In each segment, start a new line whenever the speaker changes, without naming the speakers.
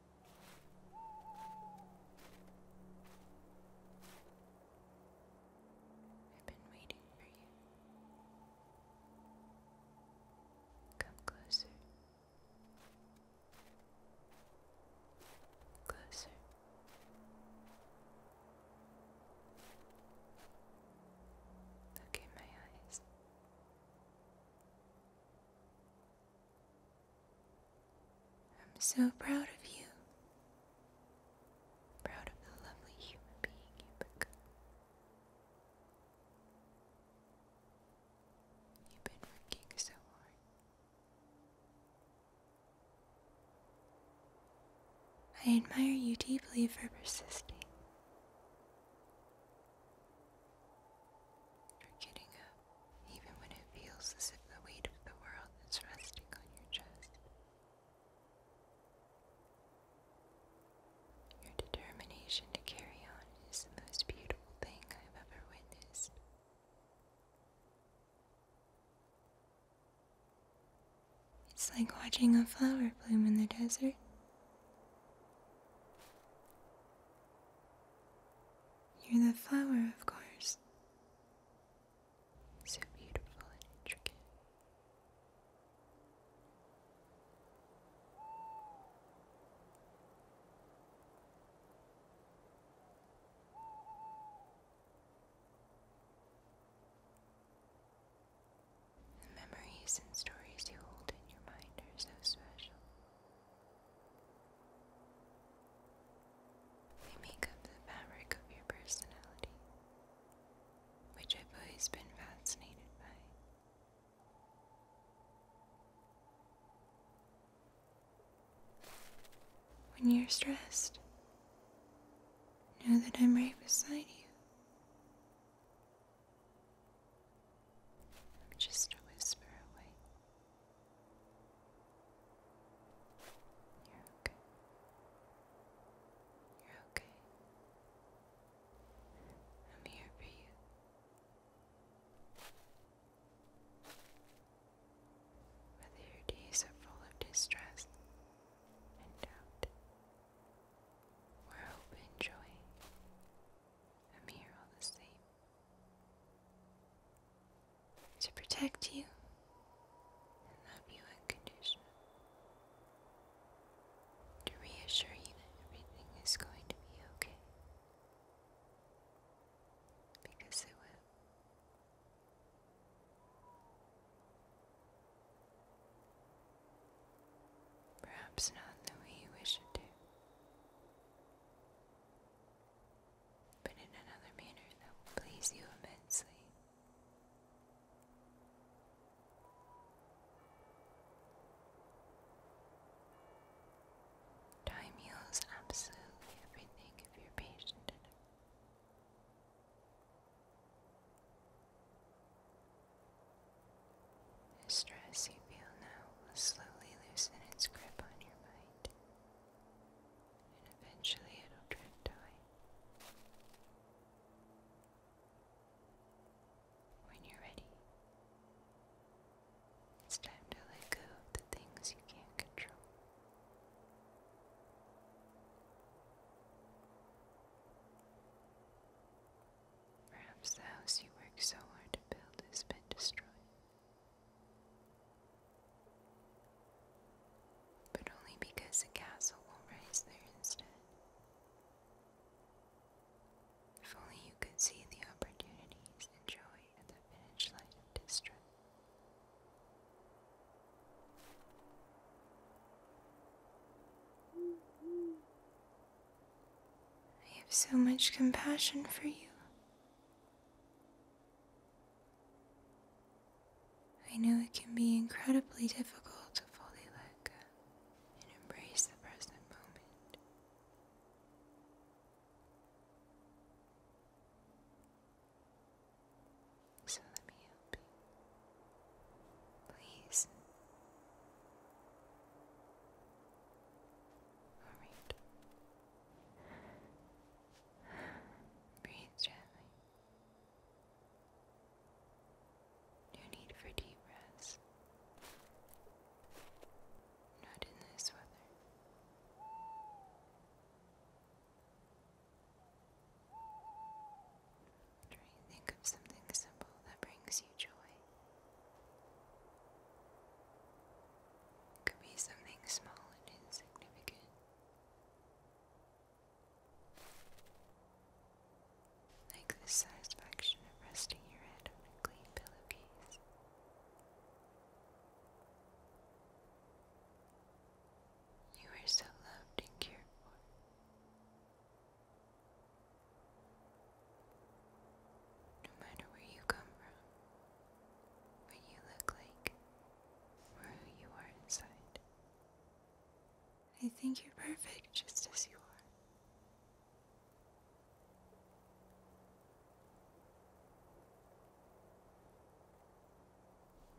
I've been waiting for you. Come closer. Closer. Look in my eyes. I'm so proud of you. Proud of the lovely human being you become. You've been working so hard. I admire you deeply for persisting, for getting up, even when it feels as if the weight of the world is resting on your chest. Your determination to carry on is the most beautiful thing I've ever witnessed. It's like watching a flower bloom in the desert. You're the flower, of course so beautiful and intricate. The memories and stories you hold in your mind are so special. They make up the fabric of your personality, which I've always been fascinated by. When you're stressed, know that I'm right beside you. I'm just a whisper away. You're okay. You're okay. I'm here for you. Whether your days are full of distress and doubt, or hope and joy, I'm here all the same to protect you love you unconditionally, to reassure you that everything is going to be okay. Because it will. Perhaps not the way you wish it to but in another manner that will please you immensely. Time heals absolutely everything if you're patient enough. The stress you feel now will slowly loosen its grip on your mind and eventually it'll drift away. When you're ready, it's time to let go of the things you can't control. Perhaps the house you worked so hard to build has been destroyed. But only because the castle will rise there instead. If only you could see the opportunities and joy at the village light of district. I have so much compassion for you. I know it can be incredibly difficult to fully let go and embrace the present moment. So let me help Please. Alright. Breathe gently. No need for deep breaths. Not in this weather. Try and think of something simple that brings you joy. It could be something small and insignificant. Like the satisfaction of resting your head on a clean pillowcase. You are so loved and cared for. No matter where you come from, what you look like, or who you are inside. I think you're perfect just as you are.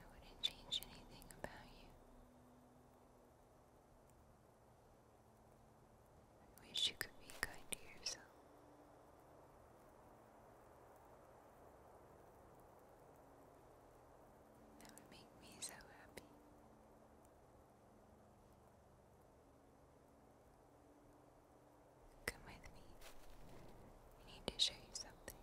I wouldn't change anything about you. I wish you could be kind to yourself. That would make me so happy. Come with me. I need to show you something.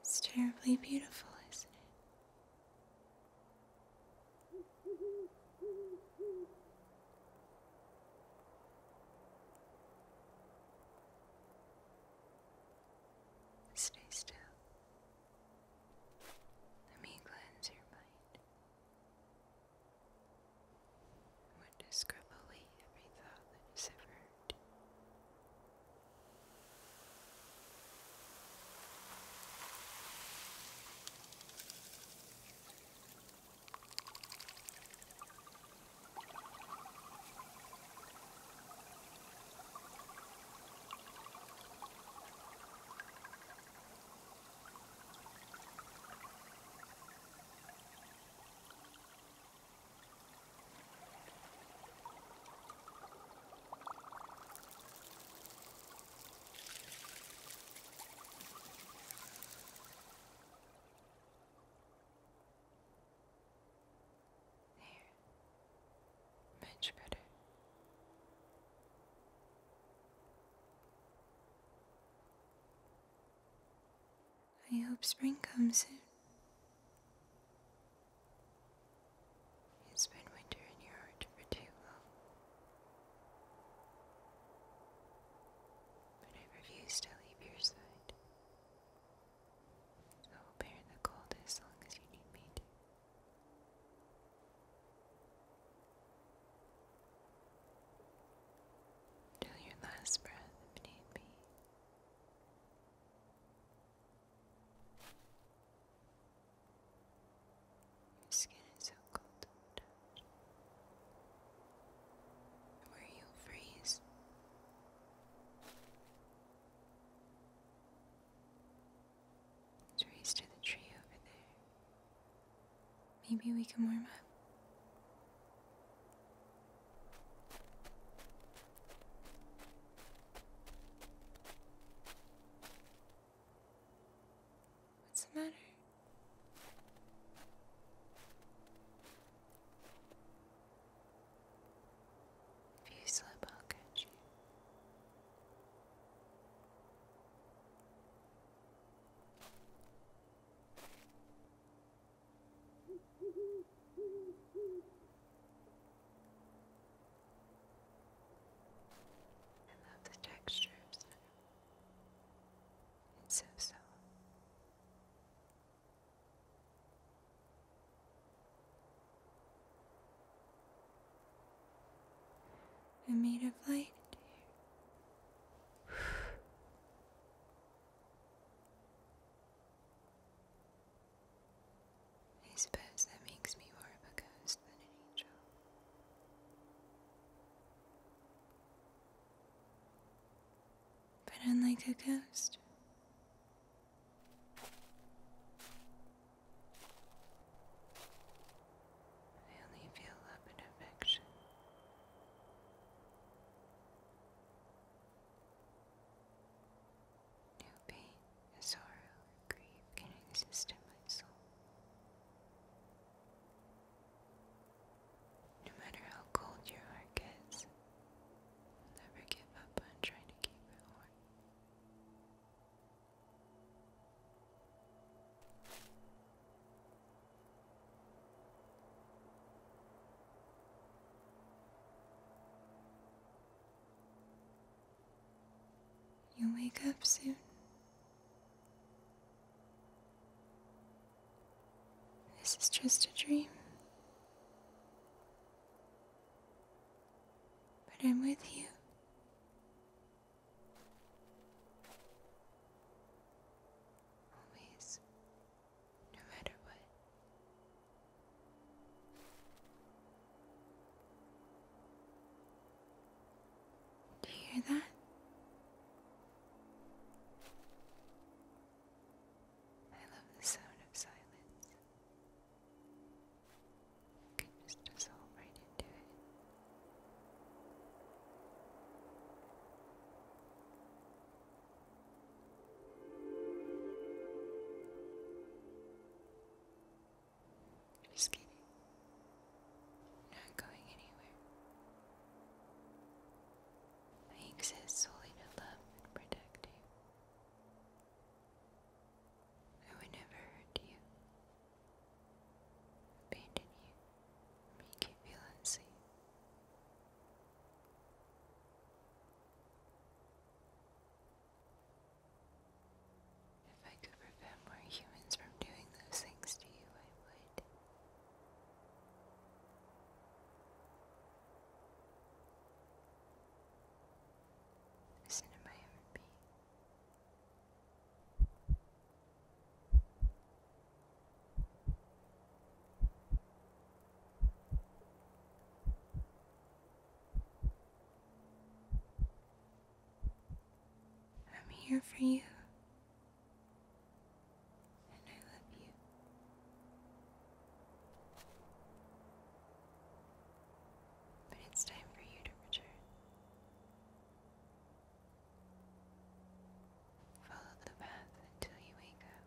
It's terribly beautiful, isn't it? Stay still. Let me cleanse your mind. Witness criminally every thought that is ever there. Much better. I hope spring comes soon. It's been winter in your heart for too long. But I refuse to leave your side. I'll bear the cold as long as you need me to. Till your last breath if Your skin is so cold to touch. Where you'll Teresa to the tree over there. Maybe we can warm up. What's the matter? If you slip, I'll catch you. I love the textures. It's so soft. I'm made of light. I suppose that makes me more of a ghost than an angel. But unlike a ghost, I only feel love and affection. No pain, sorrow, or grief can exist in my soul. No matter how cold your heart gets, never give up on trying to keep it warm you wake up soon. This is just a dream. But I'm with you. Always, no matter what. Do you hear that? I love the sound of silence. can just dissolve right into it. Just kidding. Not going anywhere. I exist solely to love and protect you. I would never hurt you abandon you, make you feel unsafe. If I could prevent more humans from doing those things to you, I would. Listen to my heartbeat. I'm here for you. And I love you. But it's time for you to return. Follow the path until you wake up.